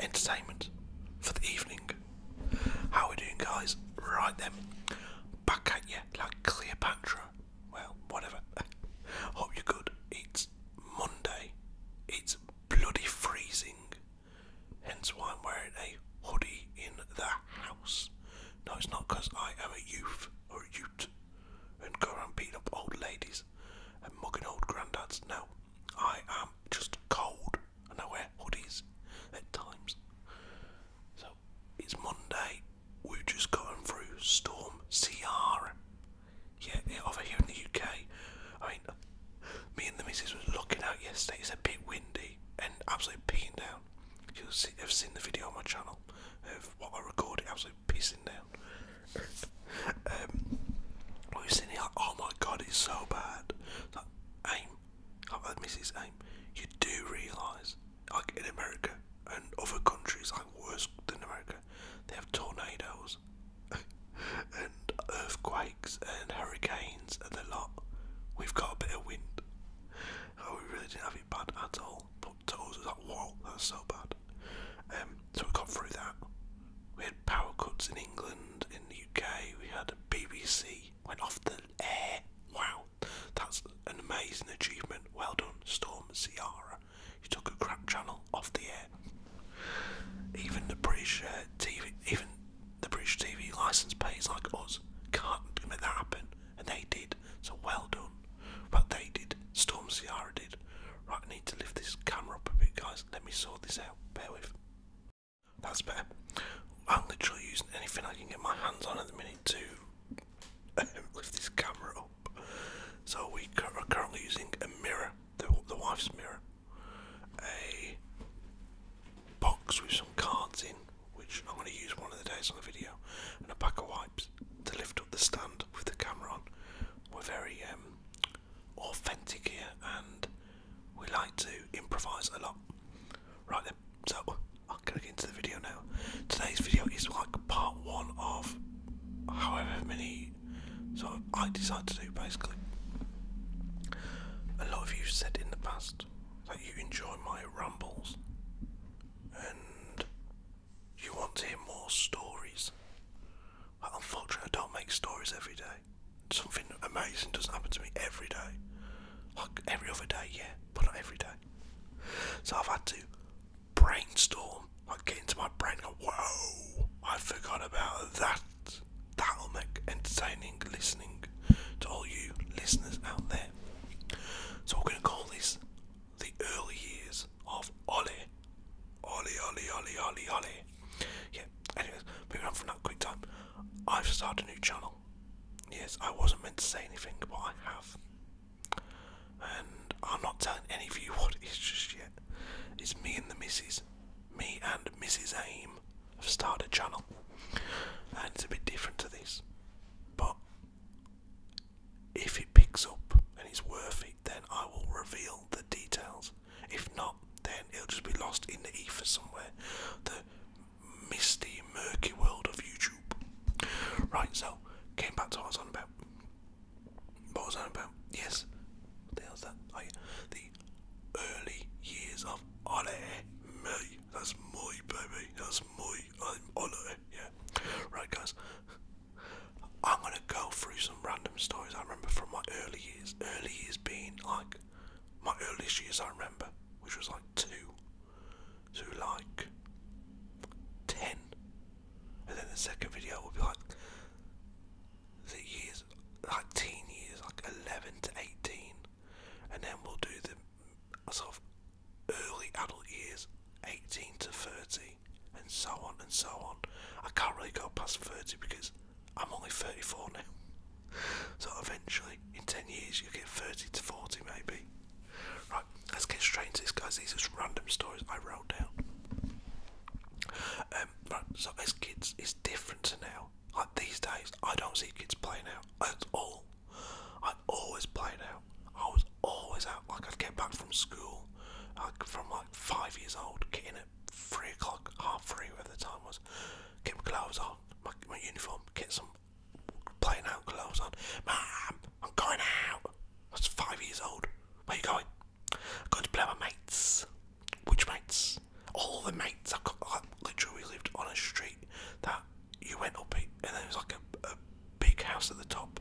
entertainment for the evening. How are we doing, guys? Right then, back at you like Cleopatra. Well, whatever. Hope you're good. It's Monday. It's bloody freezing. Hence why I'm wearing a hoodie in the house. No, it's not because I am a youth or a ute and go around beating up old ladies and mugging old granddads. No, I am just cold and I wear hoodies at times. So it's Monday. We've just gotten through Storm CR. Yeah, over here in the UK. I mean, me and the missus was looking out yesterday. It's a bit windy and absolutely pissing down. You'll see, have seen the video on my channel of what I recorded, absolutely pissing down we've seen like, oh my god, it's so bad. It's like, aim, oh, like, Mrs. Aim, you do realise, like in America and other countries, like worse than America, they have tornadoes and earthquakes and hurricanes and a lot. We've got a bit of wind. Oh, we really didn't have it bad at all. But to us, like, wow, that's so bad. Um, so we got through that. We had power cuts in England, in the UK. We had BBC went off the air. Wow, that's an amazing achievement. Well done, Storm Ciara. You took a crap channel off the air. Even the British uh, TV, even the British TV license pays like us can't make that happen, and they did. So well done. But they did. Storm Ciara did. Right, I need to lift this camera up a bit, guys. Let me sort this out. Bear with. That's better. I'm literally using anything I can get my hands on at the minute to lift this camera up. So we are currently using a mirror, the, the wife's mirror, a box with some cards in, which I'm going to use one of the days on the video, and a pack of wipes to lift up the stand with the camera on. We're very um, authentic here and we like to improvise a lot. Right then, so oh, I'm gonna get into the video now. Today's video is like part one of however many So I decide to do basically. A lot of you said in the past that you enjoy my rambles and you want to hear more stories. Unfortunately, I don't make stories every day. Something amazing doesn't happen to me every day. Like every other day, yeah, but not every day. So I've had to brainstorm, like get into my brain go, whoa, I forgot about that. That'll make entertaining listening to all you listeners out there. So we're going to call this the early years of Ollie Ollie, Ollie, Ollie, Ollie, Ollie. Yeah, anyways, moving on from that quick time. I've started a new channel. Yes, I wasn't meant to say anything, but I have. And I'm not telling any of you what it is just yet. It's me and the missus. Me and Mrs. Aim have started a channel. And it's a bit different to this. But if it picks up and it's worthy, then I will reveal the details. If not, then it'll just be lost in the ether somewhere. The misty, murky world of YouTube. Right, so, came back to what I was on about. What was I about? Yes. the hell's oh, The early years of Ole Me. That's my baby. That's my. i Yeah. Right, guys go through some random stories I remember from my early years. Early years being like my earliest years I remember, which was like two to like ten. And then the second video will be like the years, like teen years, like 11 to 18. And then we'll do the sort of early adult years, 18 to 30, and so on and so on. I can't really go past 30 because I'm only 34 now. So eventually, in 10 years, you get 30 to 40 maybe. Right, let's get straight into this, guys. These are just random stories I wrote down. Um, so as kids, it's different to now. Like these days, I don't see kids playing now at all. I always play now. I was always out. Like I'd get back from school, like from like five years old, getting three o'clock, half three, whatever the time was. Get my gloves on, my, my uniform, get some playing out gloves on. Mom, I'm going out. I was five years old. Where you going? I'm going to play my mates. Which mates? All the mates. I, I literally lived on a street that you went up it, and there was like a, a big house at the top,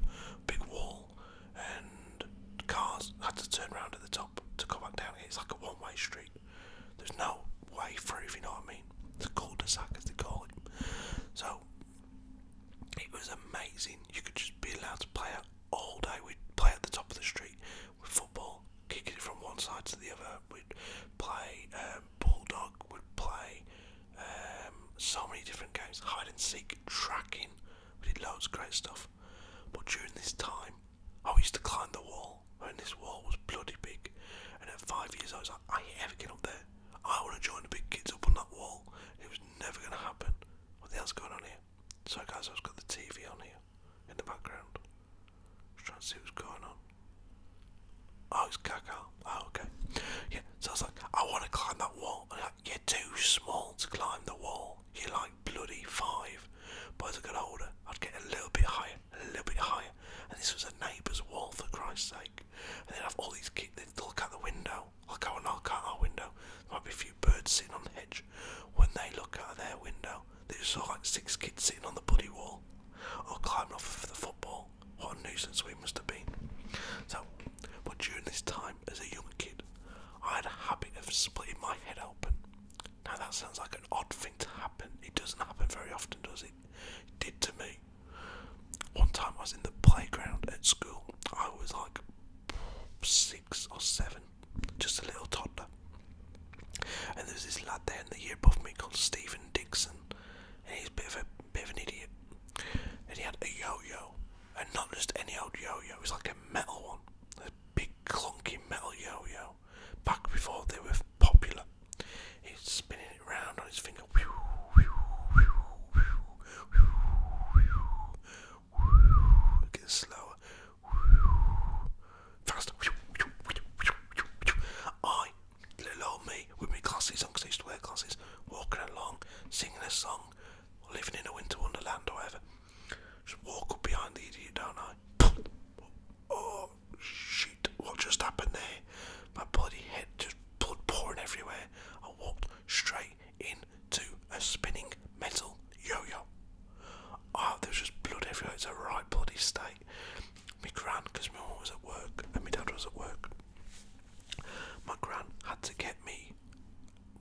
big wall, and cars had to turn around at the top to go back down. It's like a one-way street. There's no way through, if you know what I mean. It's a cul-de-sac, as they call it. So it was amazing. You could just be allowed to play out all day. We'd play at the top of the street with football, kicking it from one side to the other. We'd play um, bulldog. We'd play um, so many different games, hide and seek, tracking. We did loads of great stuff. But during this time, I used to climb the wall, and this wall was bloody big. And at five years, I was like, I ain't ever get up there. I want to join the big kids up on that wall. It was never going to happen. What the hell's going on here? So, guys, I've got the TV on here in the background. Just trying to see what's going on. Oh, it's Kaka. Oh, okay. Yeah, so I was like, I want to climb that wall. you're too small to climb the wall four, you're like bloody five. But as I got older, I'd get a little bit higher, a little bit higher. And this was a neighbour's wall, for Christ's sake. And then would have all these kids, they'd look out the window, I'll go and knock out our window. There might be a few birds sitting on the hedge. When they look out of their window, they just saw like six kids sitting on the bloody wall or oh, climbing off of the football. What a nuisance we must have been. So, but during this time as a young kid, I had a habit of splitting my head open. Now that sounds like an odd thing to happen. It doesn't happen very often, does it? It did to me. One time I was in the playground at school. I was like six or seven, just a little toddler. And there was this lad there in the year above me called Stephen Dixon, and he's a bit of a bit of an idiot. And he had a yo-yo, and not just any old yo-yo. It was like a metal one. A big clunky metal yo-yo, back before they were popular. He's spinning it round on his finger. It slower. Faster. I, little me, with my glasses on, I used to wear glasses, walking along, singing a song, living in a winter wonderland or whatever. Just walk up behind the idiot, don't I? Oh shit! What just happened there? My bloody head just blood pouring everywhere. I walked straight into a spinning metal yo-yo. Oh, there's just blood everywhere. It's a right bloody state. My gran, because my mum was at work and my dad was at work. My gran had to get me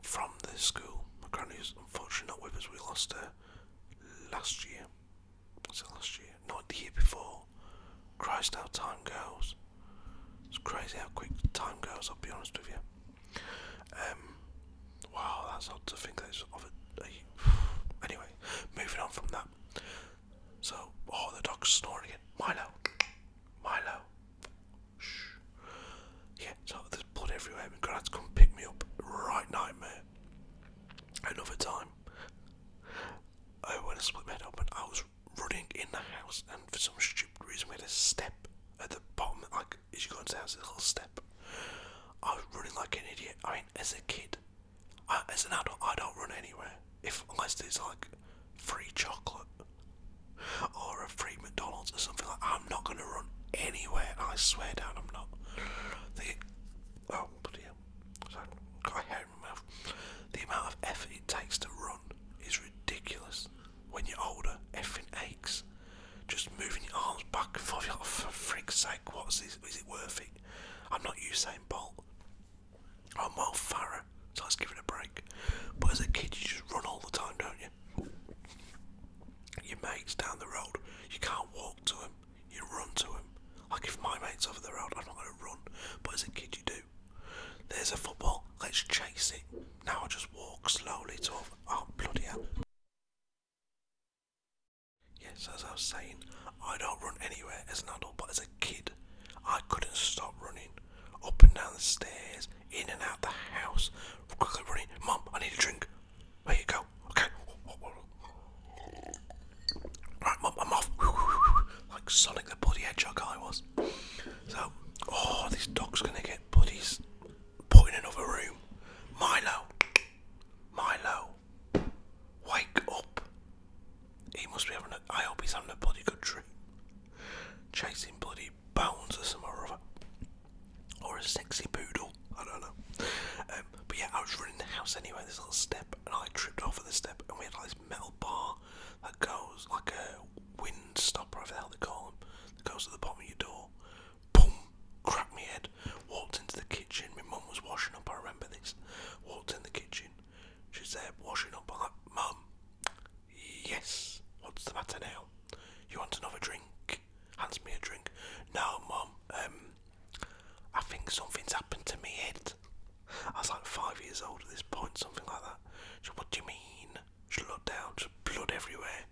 from the school. My granny's unfortunately not with us. We lost her last year. Was it last year? Not the year before. Christ, how time goes. It's crazy how quick time goes, I'll be honest with you. Um, wow, that's odd to think that it's of a, Anyway, moving on from that. So, oh, the dog's snoring again. Milo! Milo! Shh. Yeah, so there's blood everywhere. My granddad's come pick me up, right nightmare. Another time, I went and split my head open. I was running in the house, and for some stupid reason, we had a step at the bottom. Like, as you go into house, there's a little step. I was running like an idiot. I mean, as a kid, as an adult, I don't run anywhere. If unless there's like free chocolate or a free McDonald's or something like, I I'm not gonna run anywhere. I swear down, I'm not. The oh bloody hell! Sorry, got a hair The amount of effort it takes to run is ridiculous. When you're older, everything aches. Just moving your arms back for your You're like, for sake, what's Is it worth it? I'm not Usain Bolt. I'm Will Farrer, so let's give it a break. But as a kid, you just run all the time, don't you? your mates down the road. You can't walk to them, you run to them. Like if my mate's over the road, I'm not going to run, but as a kid, you do. There's a football, let's chase it. Now I just walk slowly to over. Oh, bloody hell. Yes, as I was saying, I don't run anywhere as an adult, but as a kid, I couldn't stop running. Up and down the stairs, in and out the house, quickly running. Mum, I need a drink. There you go. Okay. Right, I'm, off. Like Sonic the Bloody Hedgehog I was. So, oh, this dog's gonna get buddies put in another room. Milo. Milo. Wake up. He must be having a, I hope he's having a bloody good dream. Chasing bloody bones or some or or a sexy poodle. I don't know. Um, but yeah, I was running the house anyway. This little step, and I tripped off over the step, and we had like this metal bar that goes like a wind stopper, whatever the hell they call them, that goes to the bottom of your door. Boom! Cracked my head. Walked into the kitchen. My mum was washing up. I remember this. Walked in the kitchen. She's there washing up. I'm like, Mum, yes. What's the matter now? You want another drink? Hands me a drink. No, mum. Um, I think something's happened to me It. I was like five years old at this point, something like that. She, what do you mean? She looked down. Just blood everywhere.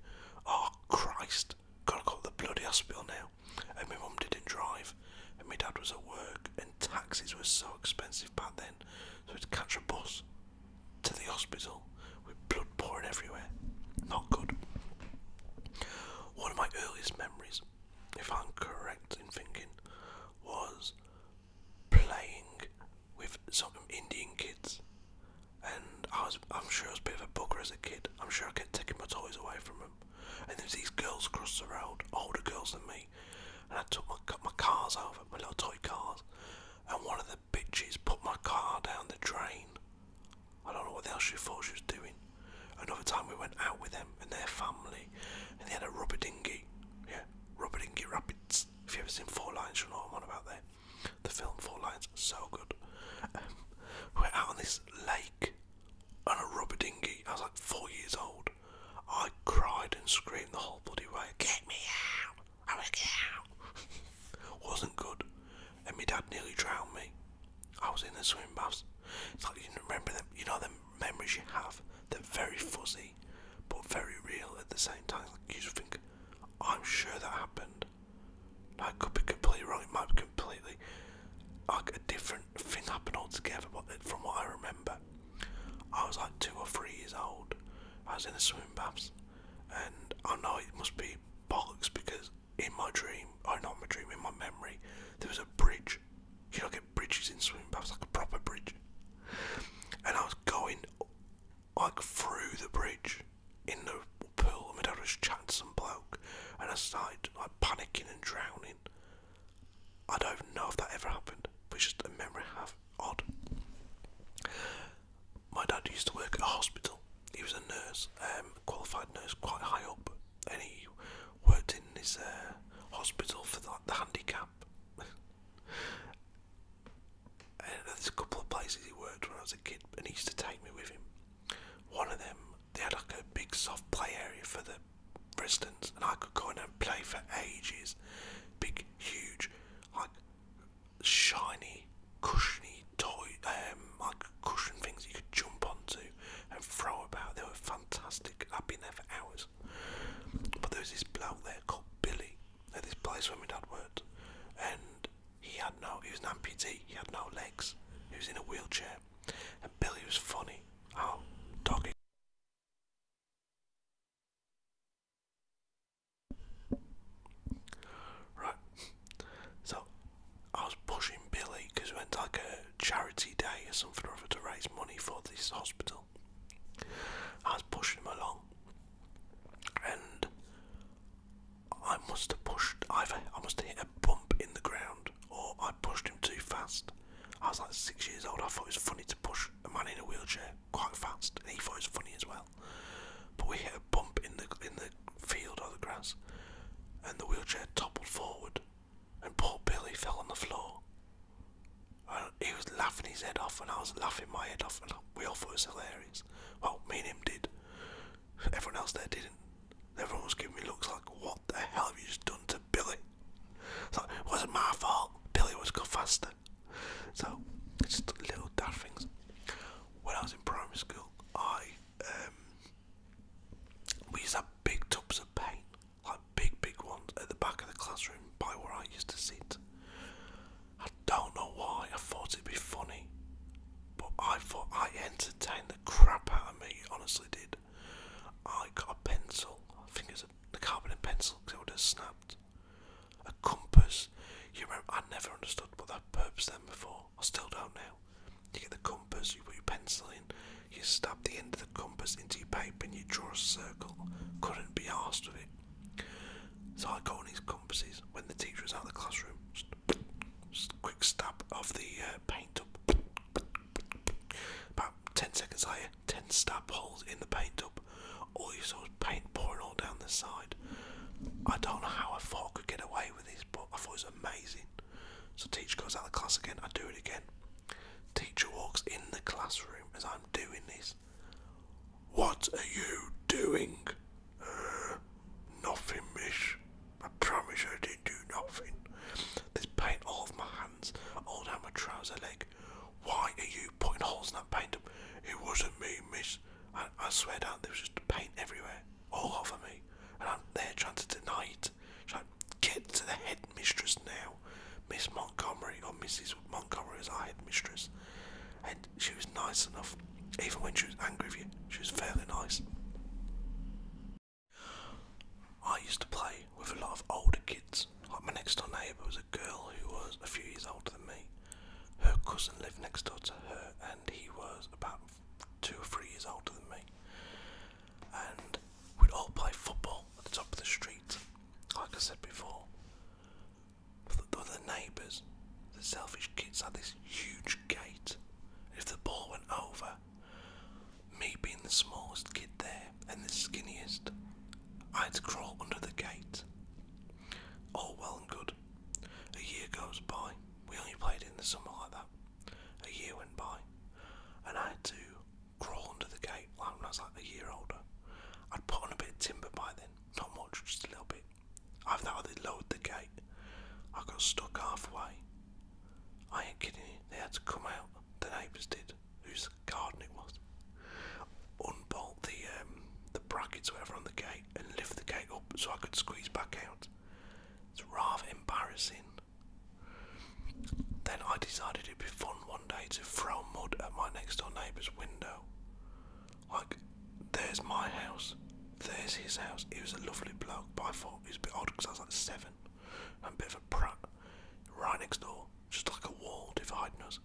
Oh Christ! Gotta go to the bloody hospital now. And my mum didn't drive, and my dad was at work, and taxis were so expensive back then. So we had to catch a bus to the hospital, with blood pouring everywhere. Not good. One of my earliest memories, if I'm correct in thinking, was playing with some Indian kids. And I was, I'm sure I was a bit of a bugger as a kid. I'm sure I kept taking my toys away from them. And there's these girls across the road, older girls than me. And I took my, my cars over, my little toy cars. And one of the bitches put my car down the drain. I don't know what else she thought she was doing. Another time we went out with them and their family, and they had a rubber dinghy. Yeah, rubber dinghy rapids. If you've ever seen Four Lines, you know what I'm on about there. The film Four Lions, so good. Um, we are out on this lake on a rubber dinghy. I was like four years old. I cried and screamed the whole bloody way. Get me out! I want to get out! Wasn't good and my dad nearly drowned me. I was in the swimming baths. It's like you remember them, you know, them memories you have. They're very fuzzy, but very real at the same time. you think, I'm sure that happened. I could be completely wrong. It might be completely like a different thing happened altogether. But uh, from what I remember, I was like two or three years old. I was in the swimming baths, and I know it must be bugs because in my dream, oh not my dream, in my memory, there was a bridge. You know, get bridges in swimming was like a proper bridge. And I was going like through the bridge in the pool, and my dad was chatting some bloke, and I started like panicking and drowning. I don't know if that ever happened, but it's just a memory I have. Odd. My dad used to work at a hospital. He was a nurse, um, qualified nurse, quite high up, and he worked in this uh, hospital for the, handicap. and there's a couple of places he worked when I was a kid, and he used to take me with him. One of them, they had like a big soft play area for the residents, and I could go in and play for ages. Big, huge, like shiny, cushiony toy, um, like cushion things you could jump onto and throw about. They were fantastic. I've been there for hours. But there was this bloke there called Billy at this place where my dad worked, and he had no. He was an amputee. He had no legs. He was in a wheelchair, and Billy was funny. Oh, doggy. Right, so I was pushing Billy because it went like a charity day or something or other to raise money for this hospital. I was pushing him along, and I must have pushed. Either I must have hit a bump in the ground, or I pushed him too fast. I was like six years old. I thought it was funny to push a man in a wheelchair quite fast, and he thought it was funny as well. But we hit a bump in the in the field of the grass, and the wheelchair toppled forward, and poor Billy fell on the floor. And he was laughing his head off, and I was laughing my head off, and we all thought it was hilarious. Well, me and him did. Everyone else there didn't. Everyone was giving me looks like, "What the hell have you just done to Billy?" It's it wasn't my fault. Billy was go faster. So, it's just little daft things. When I was in primary school, I um, we used to have big tubs of paint, like big, big ones, at the back of the classroom by where I used to sit. I don't know why, I thought it'd be funny, but I thought I entertained the crap out of me, honestly did. I got a pencil, I think it's a carbon pencil because it would have snapped. A compass, you remember, I never understood what that purpose then before. I still don't know. You get the compass, you put your pencil in, you stab the end of the compass into your paper and you draw a circle. Couldn't be asked of it. So I got on these compasses when the teacher was out of the classroom. Just, just quick stab of the uh, paint up. About 10 seconds later, 10 stab holes in the paint up. All you saw was paint pouring all down the side. I don't know how a fuck could get away this, but I thought it was amazing. So teacher goes out of the class again, I do it again. Teacher walks in the classroom as I'm doing this. What are you doing? Uh, nothing, miss. I promise I didn't do nothing. There's paint all over my hands, all down my trouser leg. Why are you putting holes in that paint? It wasn't me, miss. I, I swear down there was just paint everywhere all over me, and I'm there trying to deny it. Trying to get to the headmistress now, Miss Montgomery, or Mrs. Montgomery was our headmistress, and she was nice enough. Even when she was angry with you, she was fairly nice. I used to play with a lot of older kids. Like my next door neighbour was a girl who was a few years older than me. Her cousin lived next door to her, and he was about two or three years older than me, and we'd all play football at the top of the street. Like I said before, but the, the neighbours, the selfish kids, had this huge gate. If the ball went over, me being the smallest kid there and the skinniest, I would crawl under the gate. All well and good. A year goes by. We only played in the summer like that. A year went by, and I had to crawl under the gate like when I was like a year older. I'd put on a bit of timber by then, not much, just a little bit. I've now they lowered the gate. I got stuck halfway. I ain't kidding you, they had to come out, the neighbours did, whose garden it was. Unbolt the um, the brackets, whatever, on the gate and lift the gate up so I could squeeze back out. It's rather embarrassing. Then I decided it'd be fun one day to throw mud at my next door neighbour's window. Like, there's my house, there's his house. He was a lovely bloke, but I thought he was a bit odd because I was like seven and a bit of a prat. Right next door, just like a wall dividing us.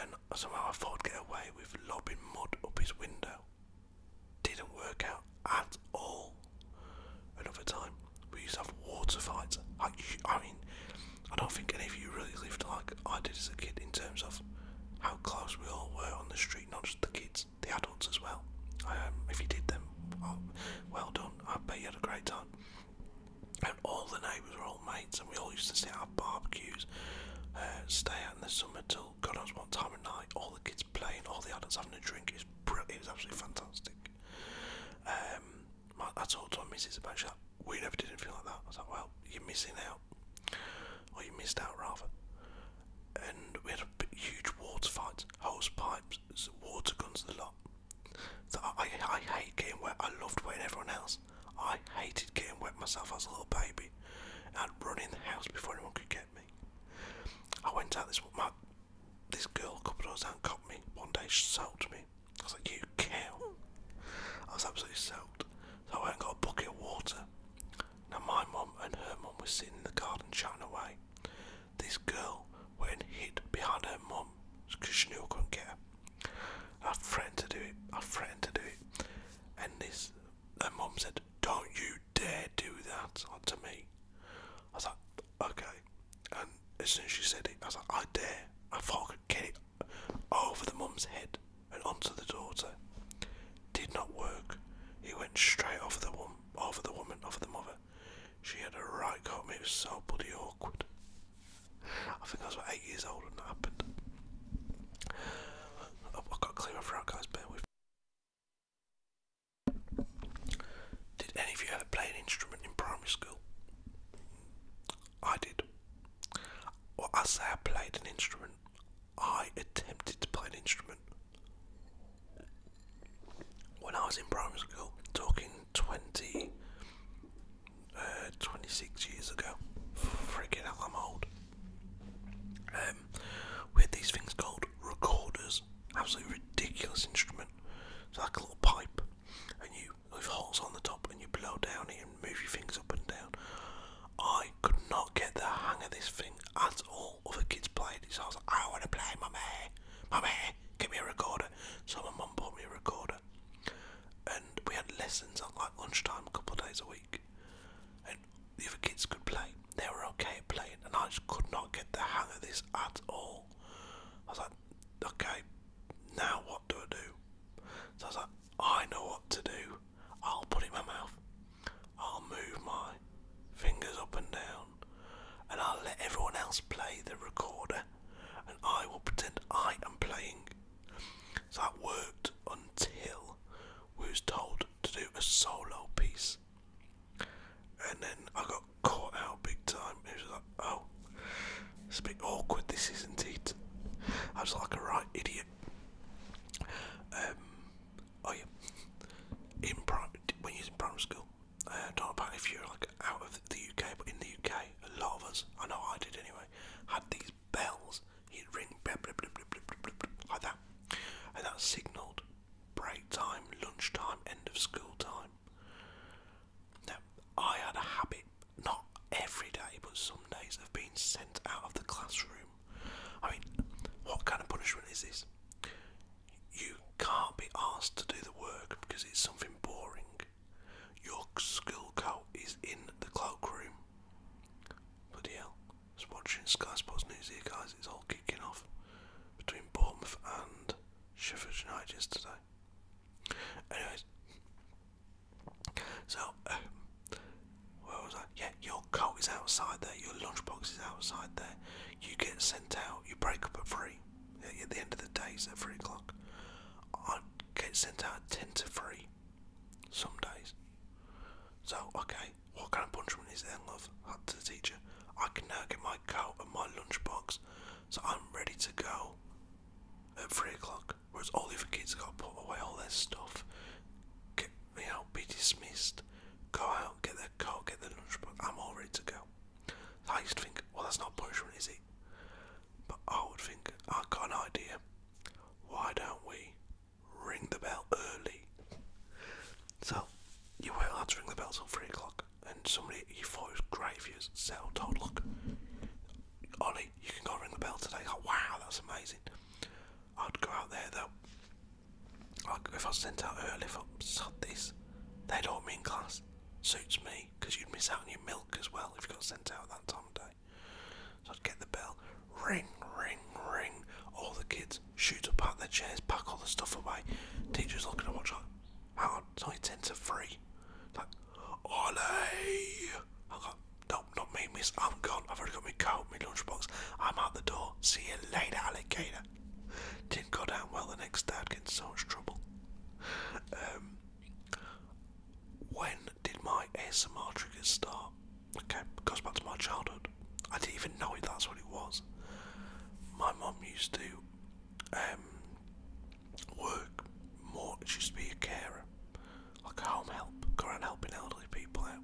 And somehow I thought I'd get away with lobbing mud up his window didn't work out at all. Another time, we used to have water fights. I, I mean, I don't think any of you really lived like I did as a kid in terms of how close we all were on the street, not just the kids, the adults as well. Um, if you did them, well done. I bet you had a great time. And all the neighbours were all mates, and we all used to sit at barbecues, uh, stay out in the summer too. God knows what time of night. All the kids playing, all the adults having a drink. It was, brilliant. It was absolutely fantastic. Um, my, I talked to my missus about that. We never did anything like that. I was like, well, you're missing out. Or you missed out, rather. And we had a big, huge water fight, hose pipes, water guns, the lot. I, I, hate getting wet. I loved wetting everyone else. I hated getting wet myself as a little baby. I'd run in the house before anyone could I went out this girl a couple of times out got me. One day she soaked me. I was like, you kill!" I was absolutely soaked. So I went and got a bucket of water. Now my mum and her mum were sitting in the garden chatting away. This girl went and hid behind her mum because she knew I couldn't get her. I threatened to do it. I threatened to do it. And this their mum said, Don't you dare do that to me. I was like, Okay. And as soon as she said it, I was like, I dare. I thought I could get it over the mum's head and onto the daughter. Did not work. He went straight over the woman, over the woman, over the mother. She had a right go It was so bloody awkward. I think I was about eight years old when that happened. I've got clear my throat, guys. Bear with me. Did any of you ever play an instrument in primary school? I did. Well, I say I played an instrument. I attempted to play an instrument. When I was in primary school, talking 20, uh, 26 years ago, freaking hell, I'm old. Um, time. We had these things called recorders, absolutely ridiculous instrument. It's like a little pipe, and you with holes on the top, and you blow down it and move your fingers up and down. I could not get the hang of this thing at all. Other kids played it, so I was like, I want to play, mummy, mummy, give me a recorder. So my mum bought me a recorder, and we had lessons at like lunchtime a couple days a week the other kids could play. They were okay at playing, and I just could not get the hang of this at all. I was like, okay, now what do I do? So I was like, I know what to do. I'll put it in my mouth. I'll move my fingers up and down, and I'll let everyone else play the recorder, and I will pretend I am playing. So that worked until who was told to do a solo piece. And then I got caught out big time. It was like, oh, it's a bit awkward, this isn't it? I was like a right idiot. Um, oh yeah, in pri when you're in primary school, uh, not about if you're like out of the UK, but in the UK, a lot of us, I know I did anyway, had these bells He'd like that, and that signalled break time, lunch time, end of school time. Now, I had a habit, not every day, but some days, of being sent out of the classroom. I mean, what kind of punishment is this? You can't be asked to do the work because it's something boring. Your school coat is in the cloakroom. Bloody hell. I was watching Sky Sports News here, guys. It's all kicking off between Bournemouth and Sheffield United yesterday. Anyways, so where was I? Yeah, your coat is outside there. Your lunchbox is outside there. You get sent out. You break up at three. At the end of the day, it's at three o'clock. I get sent out at ten to three. Some days. So okay, what kind of punishment is there, love? Had to the teacher. I can now get my coat and my lunchbox, so I'm ready to go at three o'clock. Whereas all the other kids got to put away all their stuff, get you know, be dismissed, go out, get their coat, get their lunchbox. I'm all ready to go. I used to think, well, that's not punishment, is it? But I would think, I've got an idea. Why don't we ring the bell early. So you weren't to ring the bell till three o'clock, and somebody you thought was great if you settled oh, told, look, Ollie, you can go ring the bell today. Like, oh, wow, that's amazing. I'd go out there though. Like, if I sent out early, if I sod this, they don't mean class. Suits me, because you'd miss out on your milk as well if you got sent out that time of day. So I'd get the bell, Ring, ring, ring. All the kids shoot up out their chairs, pack all the stuff away. Teacher's looking at watch like, hang on, only 10 to 3. Like, Ollie! I go, no, not me, miss. I'm gone. I've already got my coat, my lunchbox. I'm out the door. See you later, alligator. Didn't go down well the next dad gets would so much trouble. Um, when did my ASMR triggers start? Okay, goes back to my childhood. I didn't even know it, that's what it was. My mum used to um, work more, she used to be a carer, like a home help, going around helping elderly people out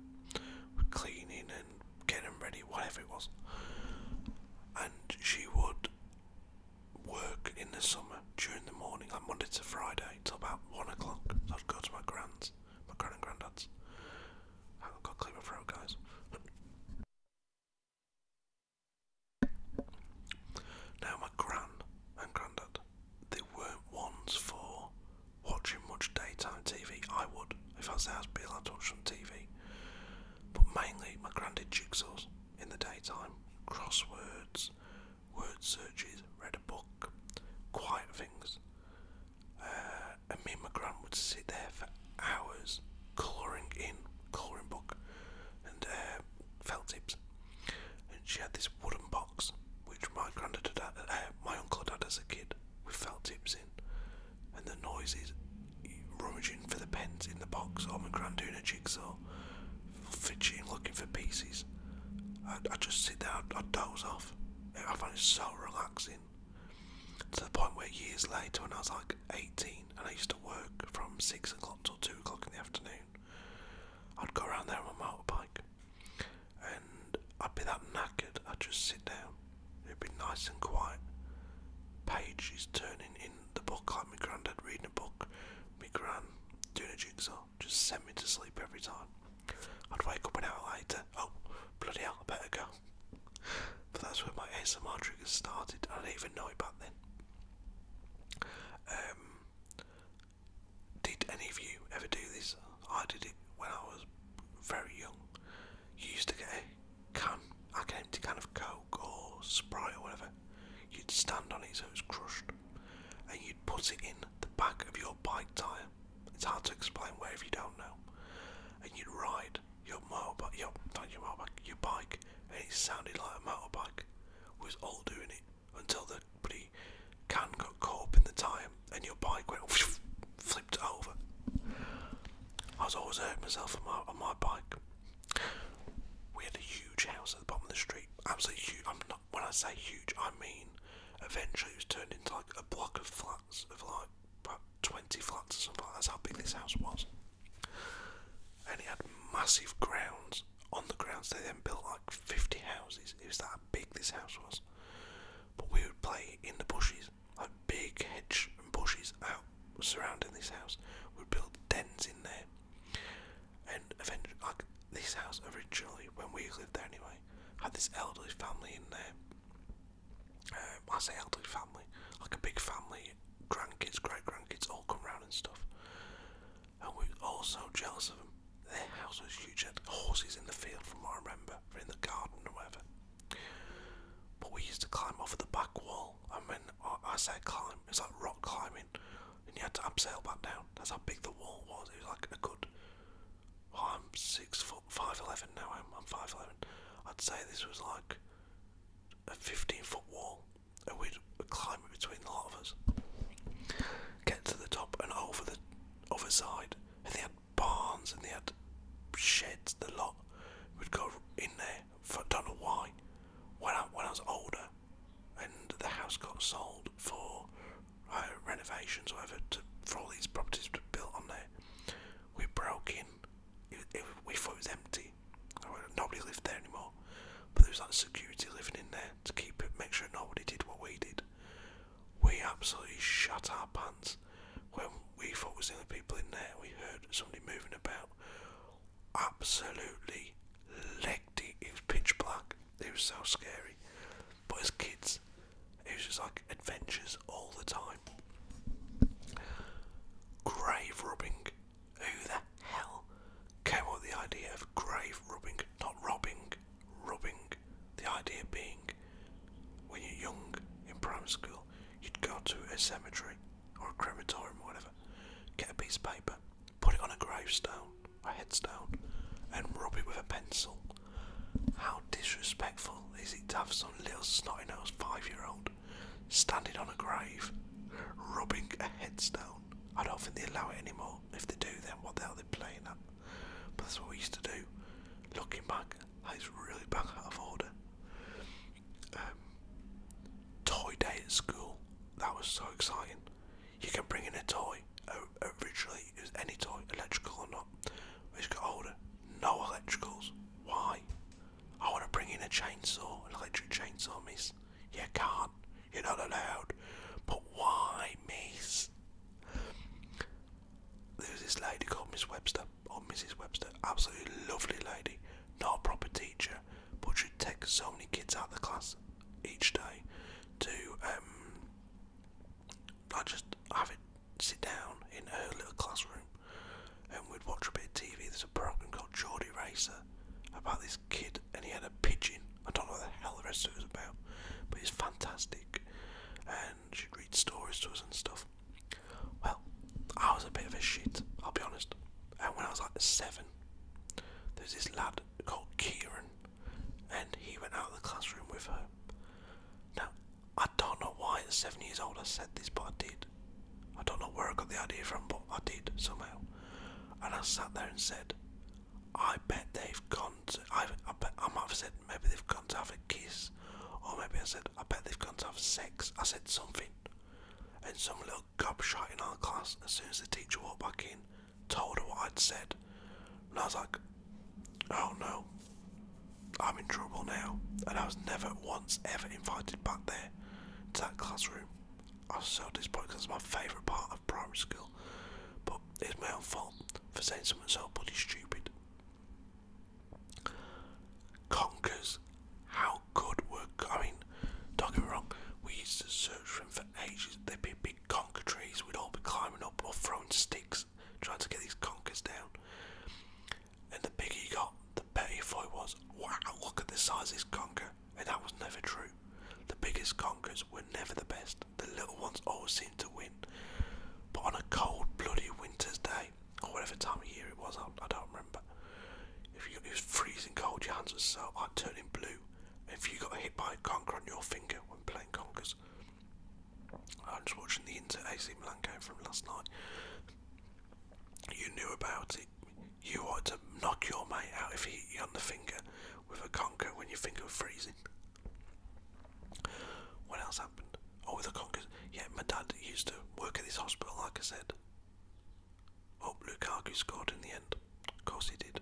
with cleaning and getting them ready, whatever it was. And she would work in the summer during the morning, like Monday to Friday, till about one o'clock. So I'd go to my grand's, my grand and granddad's, I got clear throat, guys. now my gran and granddad, they weren't ones for watching much daytime TV. I would, if I was there, I'd be allowed to watch some TV. But mainly, my gran did jigsaws in the daytime, crosswords, word searches, read a book, quiet things. Uh, and me and my gran would sit there for hours colouring in colouring book and uh, felt tips. And she had this wooden box which my granddad had, uh, my uncle had as a kid with felt tips in. And the noises rummaging for the pens in the box or my gran doing a jigsaw, fidgeting looking for pieces. I'd, just sit there, i I'd doze off. I find it so relaxing. To the point where years later, when I was like 18 and I used to work from 6 o'clock till 2 o'clock in the afternoon, I'd go around there on my motorbike and I'd be that knackered, I'd just sit down. It'd be nice and quiet. Pages turning in the book, like my granddad reading a book, my gran doing a jigsaw, just sent me to sleep every time. I'd wake up an hour later, oh, bloody hell, I better go but that's where my ASMR triggers started. I do not even know it back then. Um, did any of you ever do this? I did it when I was very young. You used to get a can, I came to can of Coke or Sprite or whatever. You'd stand on it so it crushed, and you'd put it in the back of your bike tyre. It's hard to explain where you don't know. And you'd ride your motorbike, your, not your motorbike, your bike, and it sounded like a motorbike. was all doing it until the bloody can got caught up in the time and your bike went flipped over. I was always hurting myself on my, on my bike. We had a huge house at the bottom of the street. Absolutely huge. I'm not, when I say huge, I mean eventually it was turned into like a block of flats of like about 20 flats or something. That's how big this house was. And it had massive grounds. On the grounds, they then built like 50 houses. It was that big this house was. But we would play in the bushes, like big hedge and bushes out surrounding this house. We'd build dens in there. And eventually, like this house originally, when we lived there anyway, had this elderly family in there um, I say elderly family, like a big family, grandkids, great grandkids, all come round and stuff. And we're all so jealous of them. Their house was huge, had horses in the field, from what I remember, or in the garden or whatever. But we used to climb over the back wall. I mean, I say climb, it's like rock climbing, and you had to abseil back down. That's how big the wall was. It was like a good, I'm six foot five eleven now. I'm 511 eleven. I'd say this was like a fifteen foot wall, and we'd climb it between the lot of us. Get to the top and over the other side, and they had barns and they had sheds. The lot we would go in there. For, don't know why. When I was older, and the house got sold for uh, renovations, or whatever, for all these properties to built on there. We broke in. we thought it was empty. Nobody lived there anymore. But there was like security living in there to keep it, make sure nobody did what we did. We absolutely shut our pants when we thought was the people in there. We heard somebody moving about. Absolutely legged it. It was pitch black. It was so scary. But as kids, it was just like adventures all the time. Grave rubbing. Who the hell came up the idea of grave rubbing? Not robbing, rubbing. The idea being when you're young in primary school, you'd go to a cemetery or a crematorium or whatever, get a piece of paper, put it on a gravestone, a headstone, and rub it with a pencil how disrespectful is it to have some little snotty nosed five year old standing on a grave, rubbing a headstone? I don't think they allow it anymore. If they do, then what the hell are they playing at? But that's what we used to do. Looking back, that is really back out of order. Um, toy day at school, that was so exciting. You can bring in a toy, originally, uh, it was any toy, electrical or not. Which got older. No electricals. Why? I want to bring in a chainsaw, an electric chainsaw, miss. You can't. You're not allowed. But why, miss? There's this lady called Miss Webster, or Mrs. Webster, absolutely lovely lady, not a proper teacher, but she takes so many kids out of the class each day to um, just have it sit down in her little classroom and we'd watch a bit of TV. There's a program called Geordie Racer about this kid and he had a pigeon. I don't know what the hell the rest of it was about, but it's fantastic. And she'd read stories to us and stuff. Well, I was a bit of a shit, I'll be honest. And when I was like seven, there's this lad called Kieran, and he went out of the classroom with her. Now, I don't know why at seven years old I said this, but I did. I don't know where I got the idea from, but I did somehow. And I sat there and said, I bet they've gone to. I, I bet I might have said maybe they've gone to have a kiss, or maybe I said I bet they've gone to have sex. I said something, and some little gobshite in our class, as soon as the teacher walked back in, told her what I'd said, and I was like, oh no, I'm in trouble now. And I was never once ever invited back there to that classroom. I was so disappointed because it's my favourite part of primary school. But it's my own fault for saying something so bloody stupid. Conkers, how good were. I mean, don't get me wrong, we used to search for them for ages. There'd be big conker trees, we'd all be climbing up or throwing sticks trying to get these conkers down. And the bigger you got, the better your fight was. Wow, look at the size of this conker. And that was never true. The biggest conkers were never the best. The little ones always seemed to win. But on a cold, bloody winter's day, or whatever time of year it was, I, don't remember. If you, it was freezing cold, your hands were so hot, turning blue. If you got hit by a conker on your finger when playing conkers, I was watching the Inter AC Milan game from last night. You knew about it. You ought to knock your mate out if he hit you on the finger with a conker when your finger was freezing. What else happened? Oh, with the conkers. Yeah, my dad used to work at this hospital, like I said. Oh, Lukaku scored in the end. Of course he did.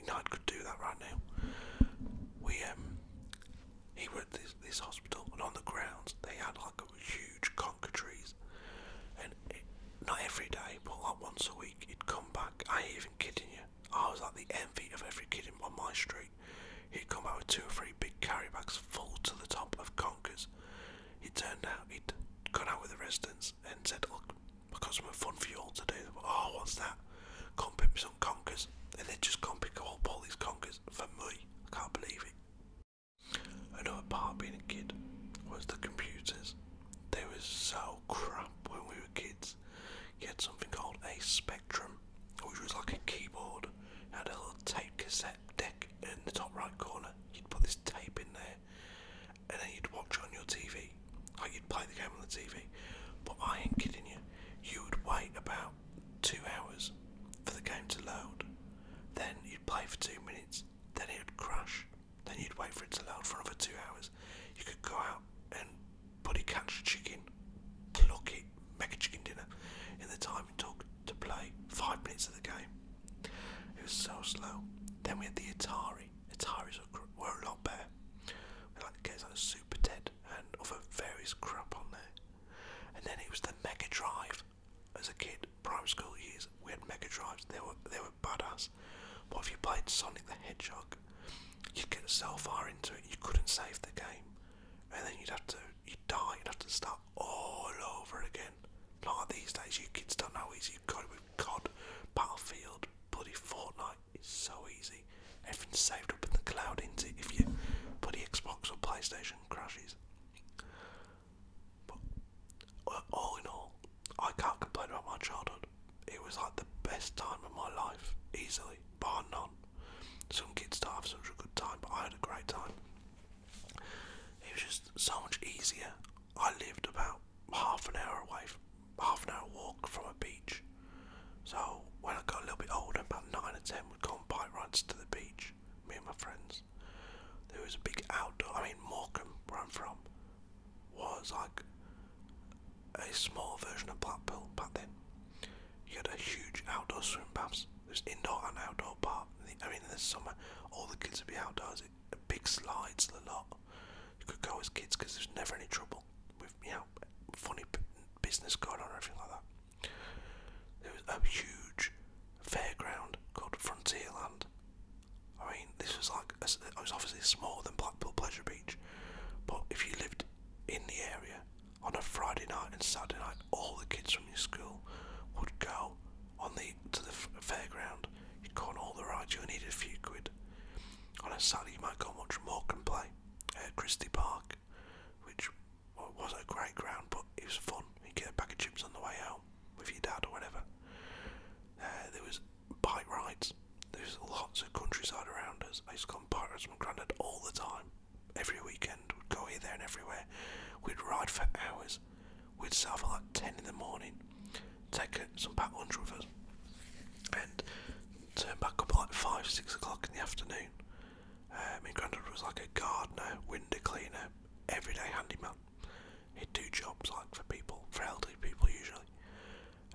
United could do that right now. We um, he went to this, this hospital, and on the grounds they had like huge conker trees, and not every day, but like once a week, he'd come back. I ain't even kidding you. I was like the envy of every kid in, on my street. He'd come back with two or three big carry bags full to the top of conkers. He'd turn out he would come out with the residents and said, "Look, I've got fun for you all to do." oh, what's that? Come pick me some conkers, and they'd just come pick up all these conkers for me. I can't believe it. Another part being a kid was the computers. They were so crap when we were kids. You had something called a Spectrum, which was like a keyboard. It had a little tape cassette deck in the top right corner. You'd put this tape in there, and then you'd watch on your TV. Like you'd play the game on the TV. But I ain't kidding you. You would wait about two hours for the game to load. Then you'd play for two minutes, then it would crash. Then you'd wait for it to load for another two hours. You could go out and buddy catch a chicken, pluck it, make a chicken dinner in the time it took to play five minutes of the game. It was so slow. Then we had the Atari. Ataris were a lot better. We had like games like Super Ted and other various crap on there. And then it was the Mega Drive. As a kid, primary school years, we had Mega Drives. They were they were badass. But if you played Sonic the Hedgehog, you'd get so far into it you couldn't save the game, and then you'd have to you'd die. You'd have to start all over again. Like these days, you kids don't know how easy you've got it with COD, Battlefield, bloody Fortnite. It's so easy. Everything's saved up in the cloud, isn't it? If your Xbox or PlayStation crashes. But uh, all in all, I can't complain about my childhood. It was like the best time of my life, easily, bar none. Some kids don't have such a good time, but I had a great time. It was just so much easier. I lived about half an hour away, half an hour walk from a beach, so when I got a little bit older, about nine or ten, we'd go on bike rides to the beach. Me and my friends. There was a big outdoor. I mean, Morecambe, where I'm from, was like a small version of Blackpool but then. You had a huge outdoor swim baths. was indoor and outdoor part. I mean, in the summer, all the kids would be outdoors. It, big slides, a lot. You could go as kids because there's never any trouble with you know funny business going on or anything like that. There was a huge fairground called Frontierland. I mean, this was like, i was obviously smaller than Blackpool Pleasure Beach, but if you lived in the area on a Friday night and Saturday night, all the kids from your school would go on the to the fairground. You'd go all the rides. You needed a few quid. On a Saturday, you might go and watch Morecambe play at uh, Christie Park which wasn't a great ground, but it was fun. You get a pack of chips on the way home with your dad or whatever. Uh, there was bike rides. There's lots of countryside around us. I used gone bike rides with my granddad all the time. Every weekend, we'd go here, there, and everywhere. We'd ride for hours. We'd start off at like 10 in the morning, take a, some packed lunch with us, and turn back up like 5, 6 o'clock in the afternoon. Uh, my granddad was like a gardener, window cleaner, everyday handyman. He'd do jobs like for people, for elderly people usually.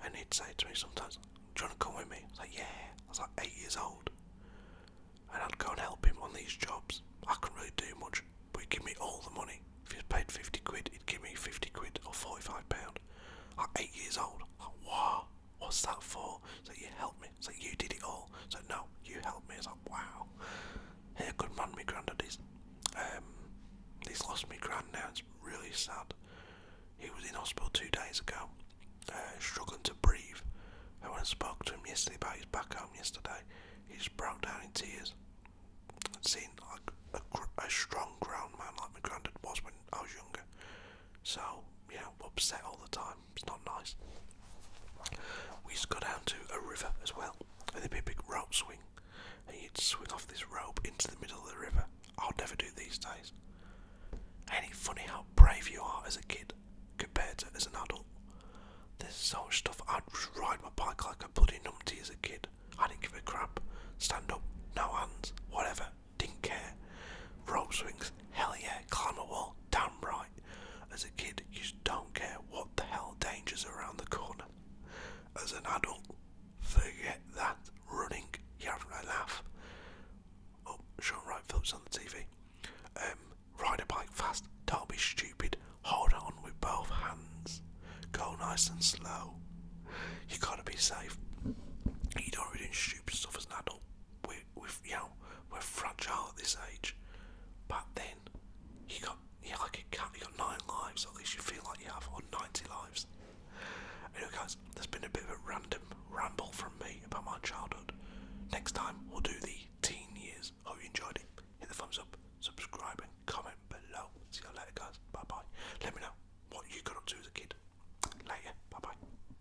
And he'd say to me sometimes, Do you want to come with me? I was like, Yeah. I was like eight years old. And I'd go and help him on these jobs. I couldn't really do much, but he'd give me all the money. If he paid 50 quid, he'd give me 50 quid or 45 pound. pound. I'm eight years old. wow what's that for? So you helped me. So you did it all. So like, no, you helped me. It's like, wow. Hey, good man, my granddad um, he's lost me grand now. It's really sad. He was in hospital two days ago, uh, struggling to breathe. I went and spoke to him yesterday about his back home yesterday, he just broke down in tears. And seeing like a, strong ground man like my granddad was when I was younger. So, you know, upset all the time it's not nice. We used to go down to a river as well, and there'd be a big rope swing, and you'd swing off this rope into the middle of the river. I'll never do these days. Ain't it funny how brave you are as a kid compared to as an adult? There's so much stuff. I'd ride my bike like a bloody numpty as a kid. I didn't give a crap. Stand up, no hands, whatever didn't care. Rope swings, hell yeah, climb a wall, damn right. As a kid, you just don't care what the hell danger's around the corner. As an adult, forget that. Running, you're having a laugh. Oh, Sean Wright Phillips on the TV. Um, ride a bike fast, don't be stupid. Hold on with both hands. Go nice and slow. You gotta be safe. You don't really do stupid stuff as an adult we we you know we're fragile at this age. But then you got yeah like a cat, you got nine lives, at least you feel like you have, or ninety lives. Anyway, guys, there's been a bit of a random ramble from me about my childhood. Next time we'll do the teen years. Hope you enjoyed it. Hit the thumbs up, subscribe, and comment below. See you later, guys. Bye bye. Let me know what you got up to as a kid. Later. Bye bye.